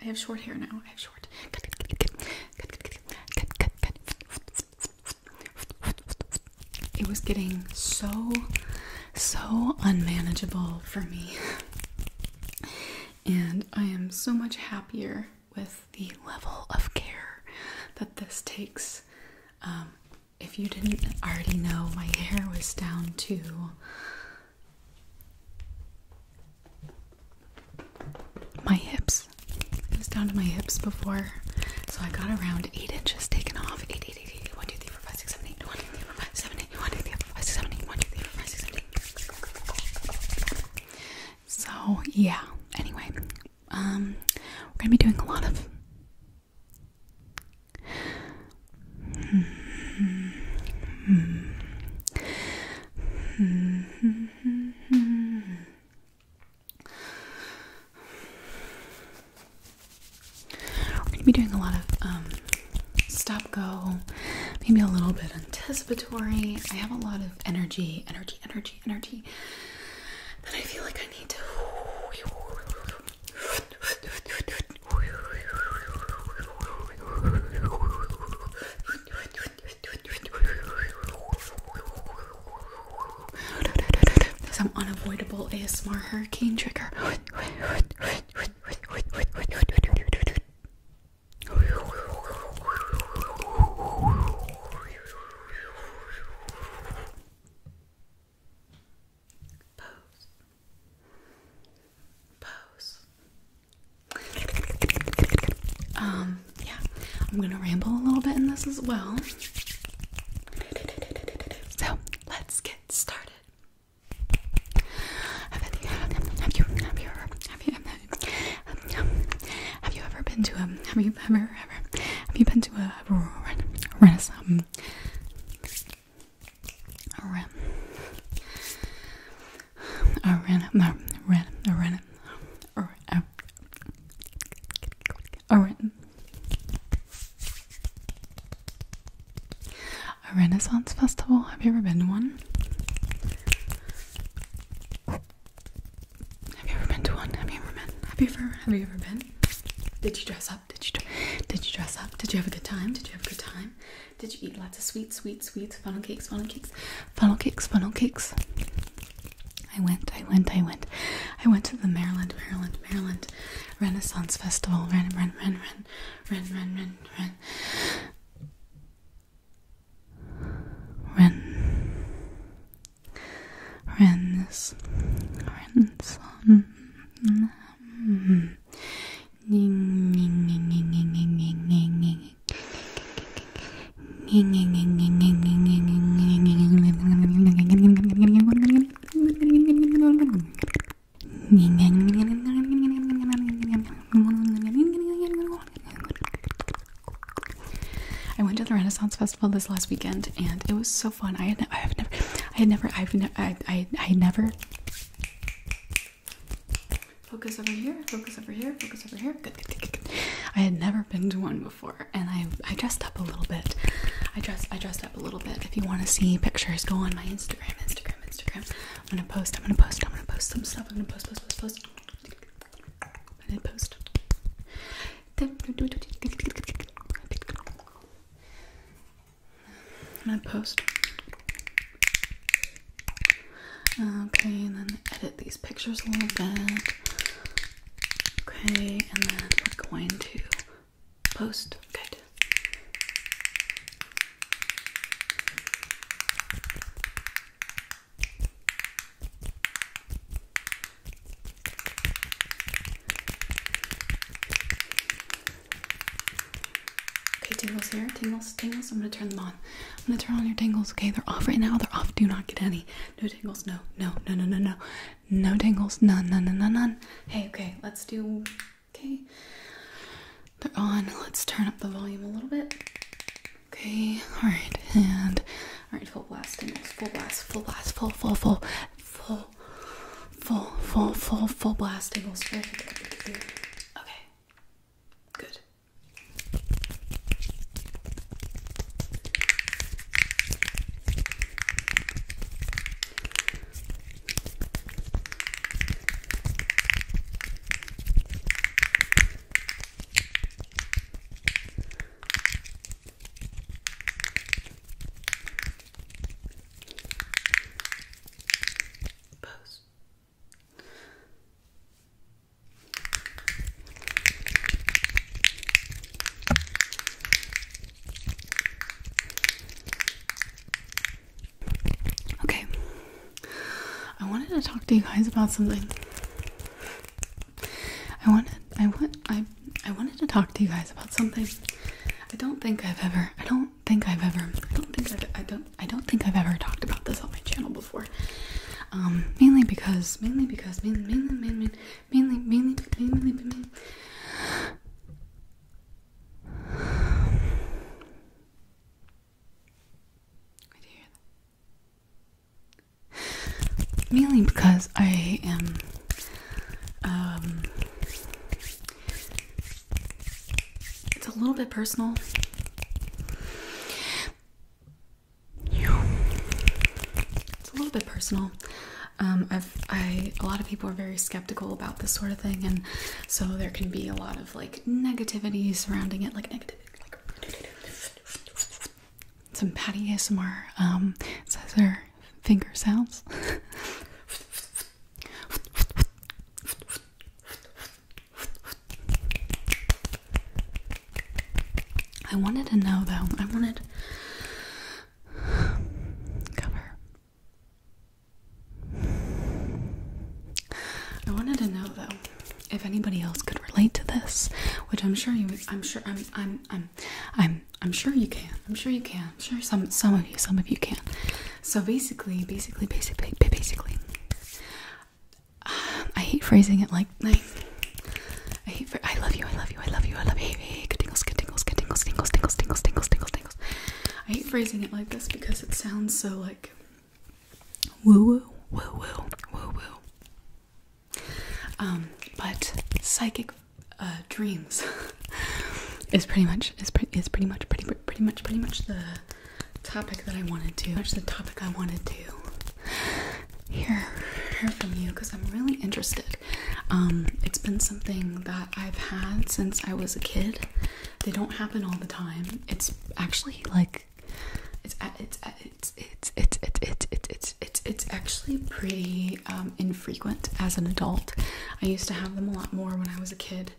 I have short hair now. I have short. It was getting so, so unmanageable for me. And I am so much happier with the level of care that this takes. Um, if you didn't already know, my hair was down to my hips. It was down to my hips before, so I got around 8 inches taken off. 8, 8, 8, 1, 2, 3, 4, 5, 6, 7, 8, 1, 2, 3, 4, 5, 7, 8, 1, 2, 3, 4, 5, 6, 7, 8, 1, 2, 3, 4, 5, 6, 7, 8. So, yeah. Anyway, um, we're going to be doing a lot of we're gonna be doing a lot of um, stop go, maybe a little bit anticipatory. I have a lot of energy, energy, energy, energy that I feel like I need to. Some unavoidable ASMR hurricane trigger. Pose. Pose. Um, yeah, I'm gonna ramble a little bit in this as well. So let's get started. Have you, have have you, have have you ever been to a, have you ever, ever, have you been to a, renaissance? Ren. A ren. No, ren. A ren. A ren. A ren. A Renaissance festival. Have you ever been to one? Have you ever been to one? Have you ever been? Have you ever? Have you ever been? Did you dress up? Did you? Did you dress up? Did you have a good time? Did you have a good time? Did you eat lots of sweets, sweets, sweets, funnel cakes, funnel cakes, funnel cakes, funnel cakes? I went, I went, I went. I went to the Maryland, Maryland, Maryland Renaissance Festival. Ren, ren, ren, ren, um, ren, um, ren, um. ren, ren. Ren. Ren. Ren. Ren. I went to the Renaissance Festival this last weekend, and it was so fun. I had, I have never, I had never, I've, ne I, I, I never. Focus over here, focus over here, focus over here. Good, good, good, good. I had never been to one before, and I I dressed up a little bit. I dressed I dressed up a little bit. If you want to see pictures, go on my Instagram, Instagram, Instagram. I'm gonna post. I'm gonna post. I'm gonna post some stuff. I'm gonna post, post, post, post. I did post. I'm gonna post. Okay, and then edit these pictures a little bit. Okay, and then we're going to post. Good. Okay, tingles here. Tingles, tingles. I'm gonna turn them on. I'm gonna turn on your tingles, okay? They're off right now. They're off. Do not get any. No tingles. No, no, no, no, no, no. No tingles. None, none, none, none, none. Hey, okay, let's do. Okay. They're on. Let's turn up the volume a little bit. Okay, alright, and. Alright, full blast tingles. Full blast, full blast, full, full, full, full full, full, full, full blast, Okay, good. Pose. Okay, I wanted to talk to you guys about something. I wanted, I want, I, I wanted to talk to you guys about something. I don't think I've ever, I don't don't think I've ever I don't think I've, I don't I don't think I've ever talked about this on my channel before. Um, mainly because mainly because mainly mainly mainly mainly mainly mainly. mainly Mainly because I am um, it's a little bit personal. It's a little bit personal. Um, I a lot of people are very skeptical about this sort of thing, and so there can be a lot of like negativity surrounding it, like negative. some Patty ASMR um, says her finger sounds. I wanted to know though. I wanted cover. I wanted to know though if anybody else could relate to this, which I'm sure you. I'm sure. I'm. I'm. I'm. I'm. I'm sure you can. I'm sure you can. I'm sure some. Some of you. Some of you can. So basically, basically, basically, basically, um, I hate phrasing it like like I hate. I love you. I love you. I love you. I love you. Hey, tingles, tingles, tingles, tingles, tingles, tingles, tingles, tingles, tingles. I hate phrasing it like this because it sounds so like woo woo woo woo woo woo. Um, but psychic uh, dreams is pretty much is pretty is pretty much pretty pretty much pretty much the topic that I wanted to. the topic I wanted to hear hear from you because I'm really interested. Um, it's been something that I've had since I was a kid. They don't happen all the time. It's actually like it's it's it's it's it's it's it's it's it's actually pretty um, infrequent as an adult. I used to have them a lot more when I was a kid,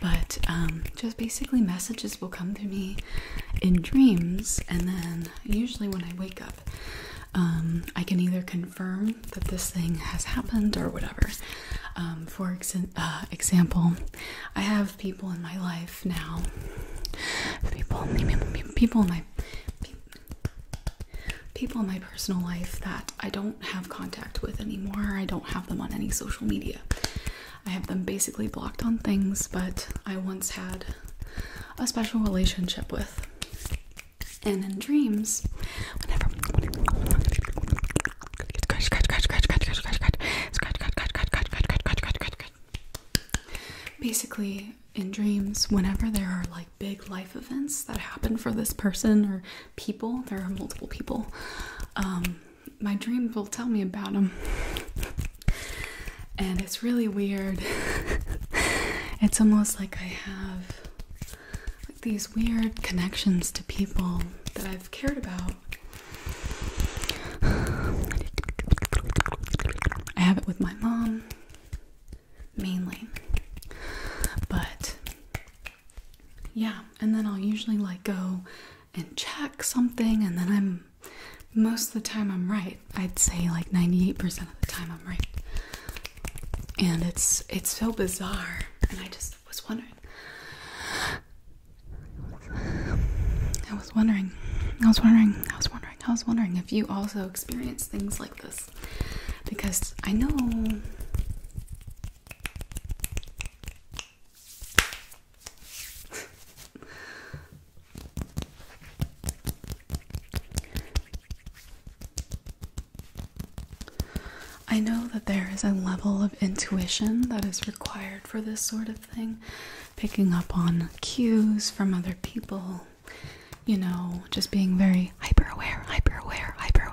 but um, just basically messages will come to me in dreams, and then usually when I wake up, um, I can either confirm that this thing has happened or whatever. Um, for uh, example, I have people in my life now, people, people in my people in my personal life that I don't have contact with anymore. I don't have them on any social media. I have them basically blocked on things, but I once had a special relationship with. And in dreams, whenever basically in dreams, whenever there are like big life events that happen for this person or people. There are multiple people. Um, my dreams will tell me about them. and it's really weird. it's almost like I have like these weird connections to people that I've cared about. I have it with my mom mainly, but yeah, and then I'll usually like go and check something, and then I'm most of the time I'm right. I'd say like 98% of the time I'm right. And it's it's so bizarre, and I just was wondering. I was wondering. I was wondering. I was wondering. I was wondering if you also experience things like this because I know I know that there is a level of intuition that is required for this sort of thing, picking up on cues from other people, you know, just being very hyper aware, hyper aware, hyper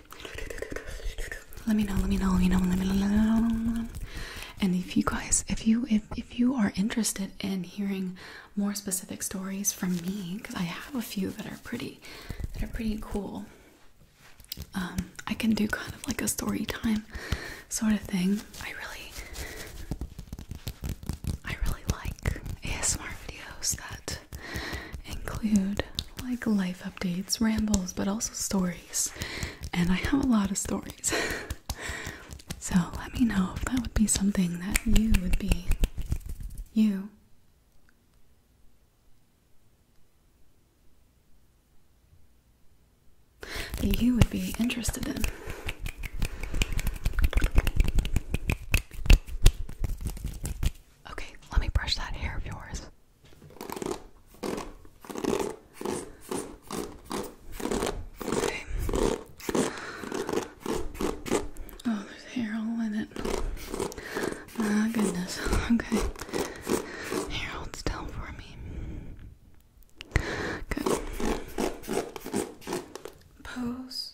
Let me know, let me know, let me know, let me know. And if you guys, if you if if you are interested in hearing more specific stories from me, because I have a few that are pretty that are pretty cool. Um, I can do kind of like a story time sort of thing. I really I really like ASMR videos that include like life updates, rambles, but also stories. And I have a lot of stories. so let me know if that would be something that you would be. You. That you would be interested in. Okay, let me brush that hair of yours. Okay. Oh, there's hair all in it. Ah, oh, goodness. Okay. Here, hold still for me. Good. Pose.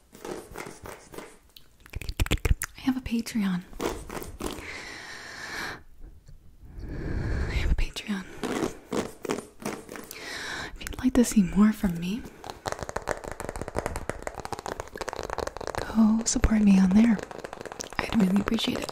I have a Patreon. I have a Patreon. If you'd like to see more from me, go support me on there. I'd really appreciate it.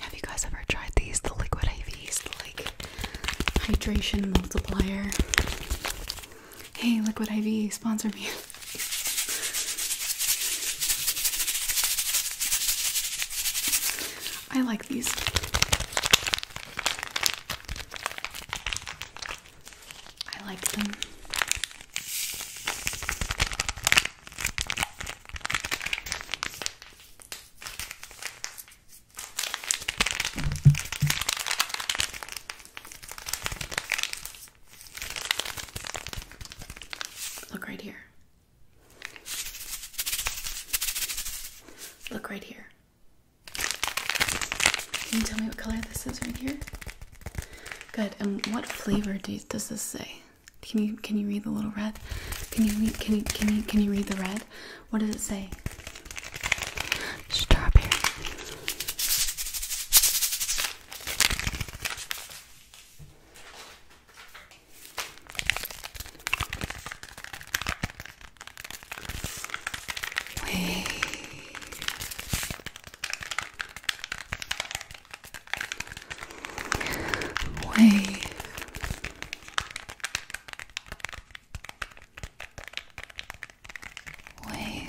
Have you guys ever tried these? The liquid IVs, like hydration multiplier. Hey, Liquid IV, sponsor me. I like these. I like them. Look right here. Look right here. Can you tell me what color this is right here? Good. And what flavor does this say? Can you can you read the little red? Can you read can you can you can you read the red? What does it say? Strawberry. Wait. Wait. Wait.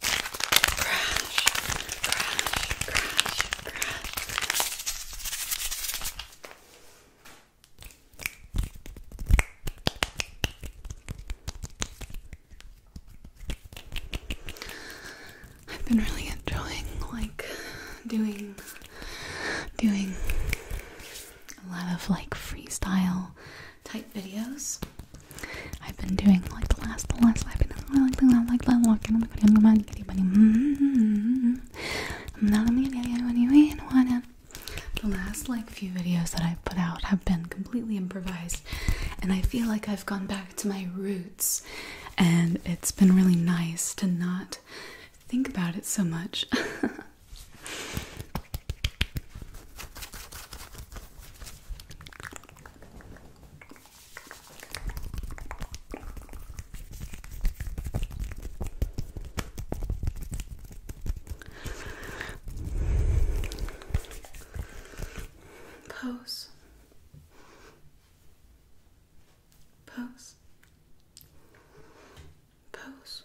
Crash, crash, crash, crash. I've been really enjoying like doing doing a lot of like freestyle type videos I've been doing like the last, the last, I've been doing like the last, like the last, and I'm going to man, kitty bunny. I'm not going to get anyway, and wanna. The last like few videos that I've put out have been completely improvised, and I feel like I've gone back to my roots, and it's been really nice to not think about it so much. Pose. Pose. Pose.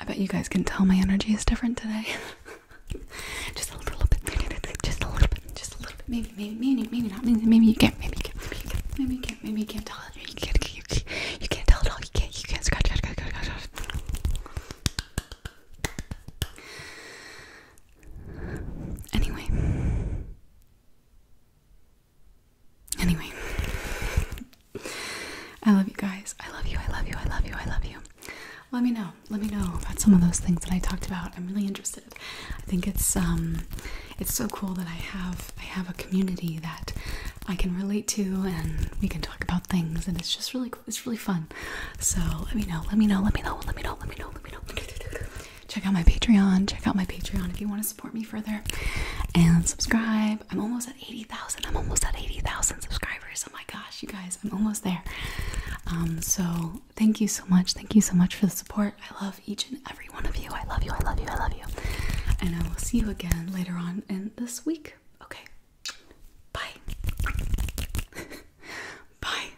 I bet you guys can tell my energy is different today. just a little bit, just a little bit, just a little bit. Maybe, maybe, maybe, maybe not. Maybe, maybe you can't. Maybe you can't. Maybe you can't. Maybe you can't. Maybe you can't tell. You can't. You can't, you can't tell at all. You can't. You can't scratch. Scratch. Scratch. Scratch. scratch. Anyway, Anyway, I love you guys. I love you. I love you. I love you. I love you. Let me know. Let me know about some of those things that I talked about. I'm really interested. I think it's um, it's so cool that I have I have a community that I can relate to, and we can talk about things, and it's just really it's really fun. So let me know. Let me know. Let me know. Let me know. Let me know. Let me know. Check out my Patreon. Check out my Patreon if you want to support me further, and subscribe I'm almost at 80,000. I'm almost at 80,000 subscribers. Oh my gosh, you guys, I'm almost there. Um, so thank you so much. Thank you so much for the support. I love each and every one of you. I love you. I love you. I love you. And I will see you again later on in this week. Okay. Bye. Bye.